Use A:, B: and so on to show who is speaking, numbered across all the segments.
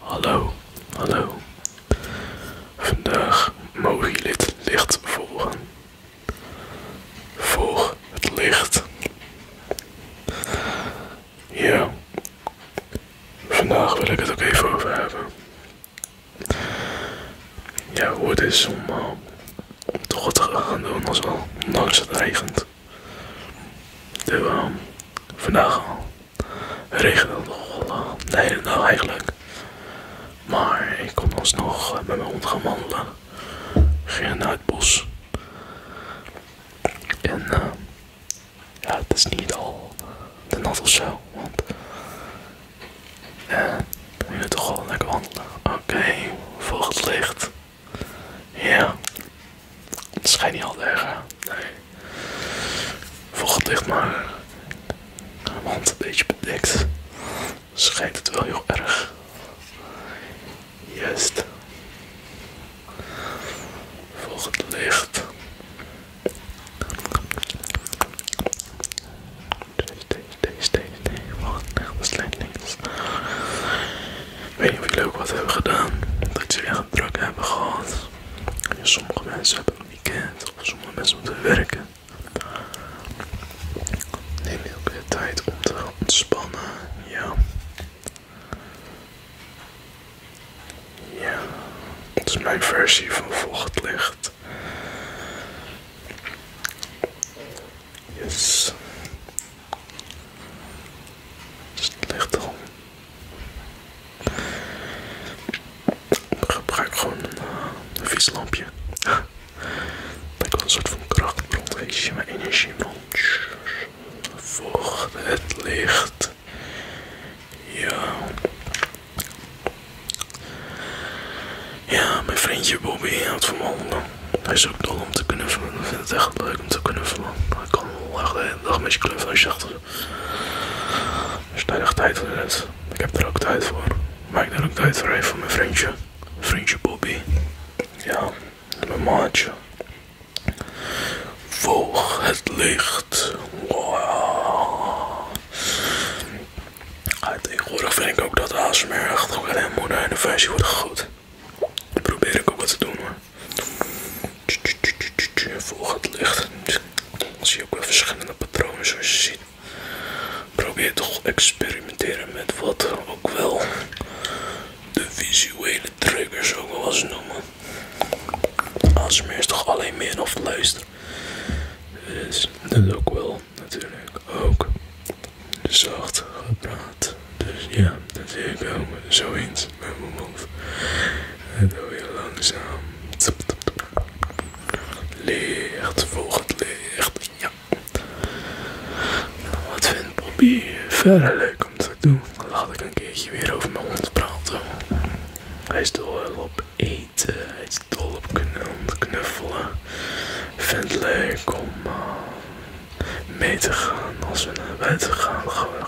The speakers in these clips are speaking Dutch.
A: Hallo, hallo. Vandaag mogen je het licht volgen. Volg het licht. Ja, vandaag wil ik het ook even over hebben. Ja, hoe het is om, eh, toch wat te gaan doen als al, ondanks het regent. Dus vandaag regende het nogal de hele dag nou, eigenlijk. Maar ik kon alsnog nog eh, met mijn hond gaan wandelen. Ging naar het bos. En eh, ja, het is niet al te nat of zo. Want uh, we moeten toch wel lekker wandelen. Oké, volgend volg het licht. Ja. het schijnt niet altijd erg. Nee. Vocht dicht maar. hand een beetje bedekt. Schijnt het wel heel erg. Juist. Volg het licht. Deze, deze, deze, deze, wacht, dat is links weet je of jullie wat hebben gedaan. Dat jullie weer druk hebben gehad. Sommige mensen hebben een weekend of sommige mensen moeten werken. Neem je ook de tijd om te ontspannen. Ja. Ja. Het is mijn versie van vochtlicht. licht. Yes. Slecht om. Ik gebruik gewoon een, uh, een vies lampje. Dat kan een soort van krachtbron, weet je, mijn energiebron. Volg het licht. Ja. Ja, mijn vriendje Bobby houdt van wandelen. Hij is ook dol om te kunnen vullen. Ik vind het echt leuk om te kunnen vullen. Hij kan wel echt de hele dag met je knuffelen als je daar echt tijd voor hebt. Ik heb er ook tijd voor. Maar ik heb er ook tijd voor even voor mijn vriendje. Vriendje Bobby. Ja, mijn maatje. Volg het licht. Wow. Tegenwoordig vind ik ook dat ASMR echt ook naar de versie wordt gegooid. Dat probeer ik ook wat te doen hoor. Volg het licht. zie je ook wel verschillende patronen zoals je ziet. Probeer toch experimenteren met wat ook wel de visuele triggers ook wel eens noemen. ASMR is toch alleen meer of luisteren. Dus dat ook wel natuurlijk ook zacht gepraat. Dus ja, dat zie ik wel zo eens met mijn mond. En dan weer langzaam. Licht, volgend licht. Wat vindt Bobby verder leuk om te doen? Laat ik een keertje weer over mijn hond praten. Hij is op eten is dol op knuffelen. Vindt het leuk om eh, mee te gaan als we naar buiten gaan. Gaan we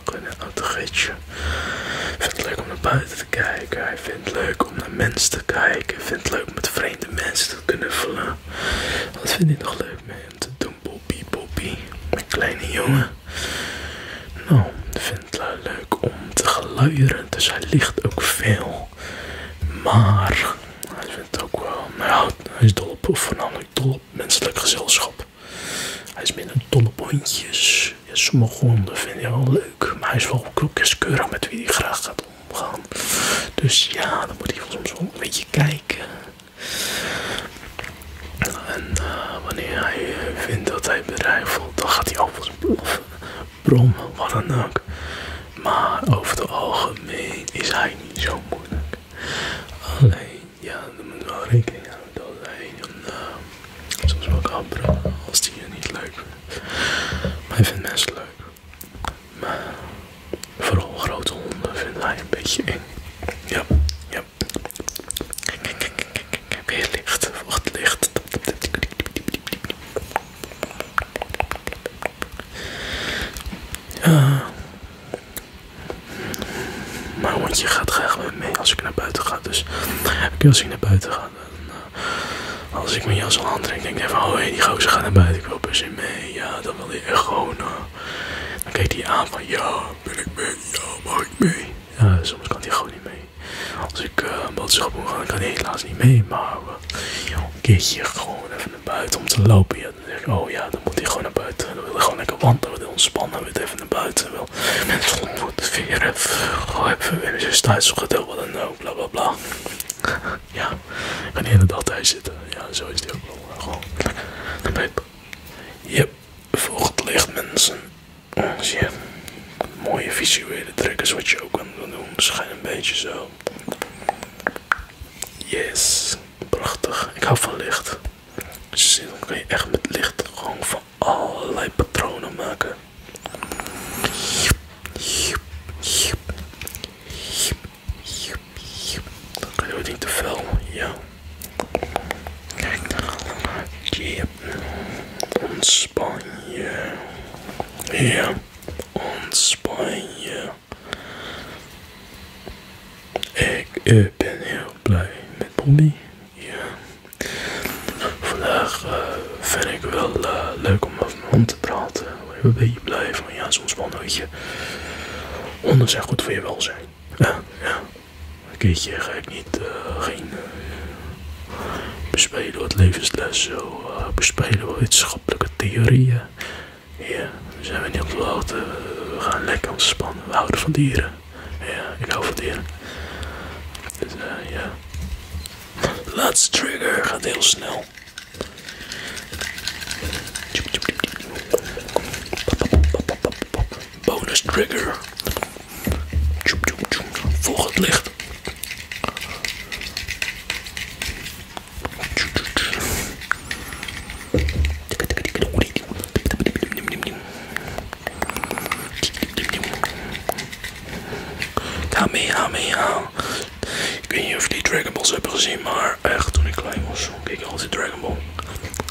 A: Vindt het leuk om naar buiten te kijken. Hij vindt leuk om naar mensen te kijken. Vindt het leuk om met vreemde mensen te knuffelen. Wat vind hij nog leuk mee om te doen? Bobby, Bobby. Mijn kleine jongen. Nou, vindt het leuk om te geluieren. Dus hij ligt ook veel. Maar hij vindt ook wel, nou hij is dol op, voornamelijk dol op menselijk gezelschap. Hij is minder dol op hondjes. sommige honden vind hij wel leuk, maar hij is wel keurig met wie hij graag gaat omgaan. Dus ja, dan moet hij soms wel een beetje kijken. En eh, wanneer hij vindt dat hij bedreigd voelt, dan gaat hij alvast blaffen brom, wat dan ook. Maar over het algemeen is hij niet zo moeilijk. Alleen, ja, dan moet wel rekening houden dat zijn een, uh, soms wel als die je niet leuk vindt. Maar hij vindt mensen leuk. Maar vooral grote honden vind hij een beetje eng. Ja, ja. Kijk, heb kijk, weer licht, wacht licht. Ah. mijn hondje gaat graag met mee als ik naar buiten ga. Dus als ik naar buiten ga, eh, als ik mijn jas al trek, denk ik van oh die die gozer gaat naar buiten. Ik wil ze mee. Ja, dan wil hij echt gewoon. Eh, dan kijkt hij aan van: ja, ben ik mee? Ja, mag ik mee? Ja, soms kan hij gewoon niet mee. Als ik eh, een boodschappen moet gaan, kan ik helaas niet mee. Maar een keertje gewoon even naar buiten om te lopen. Ja, dan denk ik, oh ja, dan moet hij gewoon naar buiten. Dan wil ik gewoon lekker wandelen, wil ontspannen, wil even naar buiten. mensen ontmoeten, vieren, gewoon even weer zijn tijd zoeken, wat dan ook, bla bla bla. ja, ik ga niet in de dag thuis zitten. Ja, zo is het ook wel. Eh, gewoon naar het Yep, volgt licht mensen zie dus mooie visuele trekkers wat je ook kan doen. schijnt een beetje zo. Yes, prachtig. Ik hou van licht. Dus dan kan je echt met licht gewoon van allerlei patronen maken. Dan kan je ook niet te fel, ja. Kijk Ontspan je. Ja, ontspan Ik ben heel blij met Bobby. Ja. Vandaag eh, vind ik wel eh, leuk om over mijn hand te praten. Ik een blij van ja, soms wel een beetje. Honden goed voor je welzijn. ja. Een keertje ga ik niet, uh, bespelen wat levensles, zo eh, bespelen wat wetenschappelijke theorieën. Ja, we zijn we niet op de hoogte, we gaan lekker ontspannen, we houden van dieren. Ja, ik hou van dieren. Dus ja. Uh, trigger gaat heel snel. Bonus trigger. Volg het licht. Ga mee, ga Ik weet niet of die Dragon Balls hebben gezien, maar echt toen ik klein was, keek ik altijd Dragon Ball.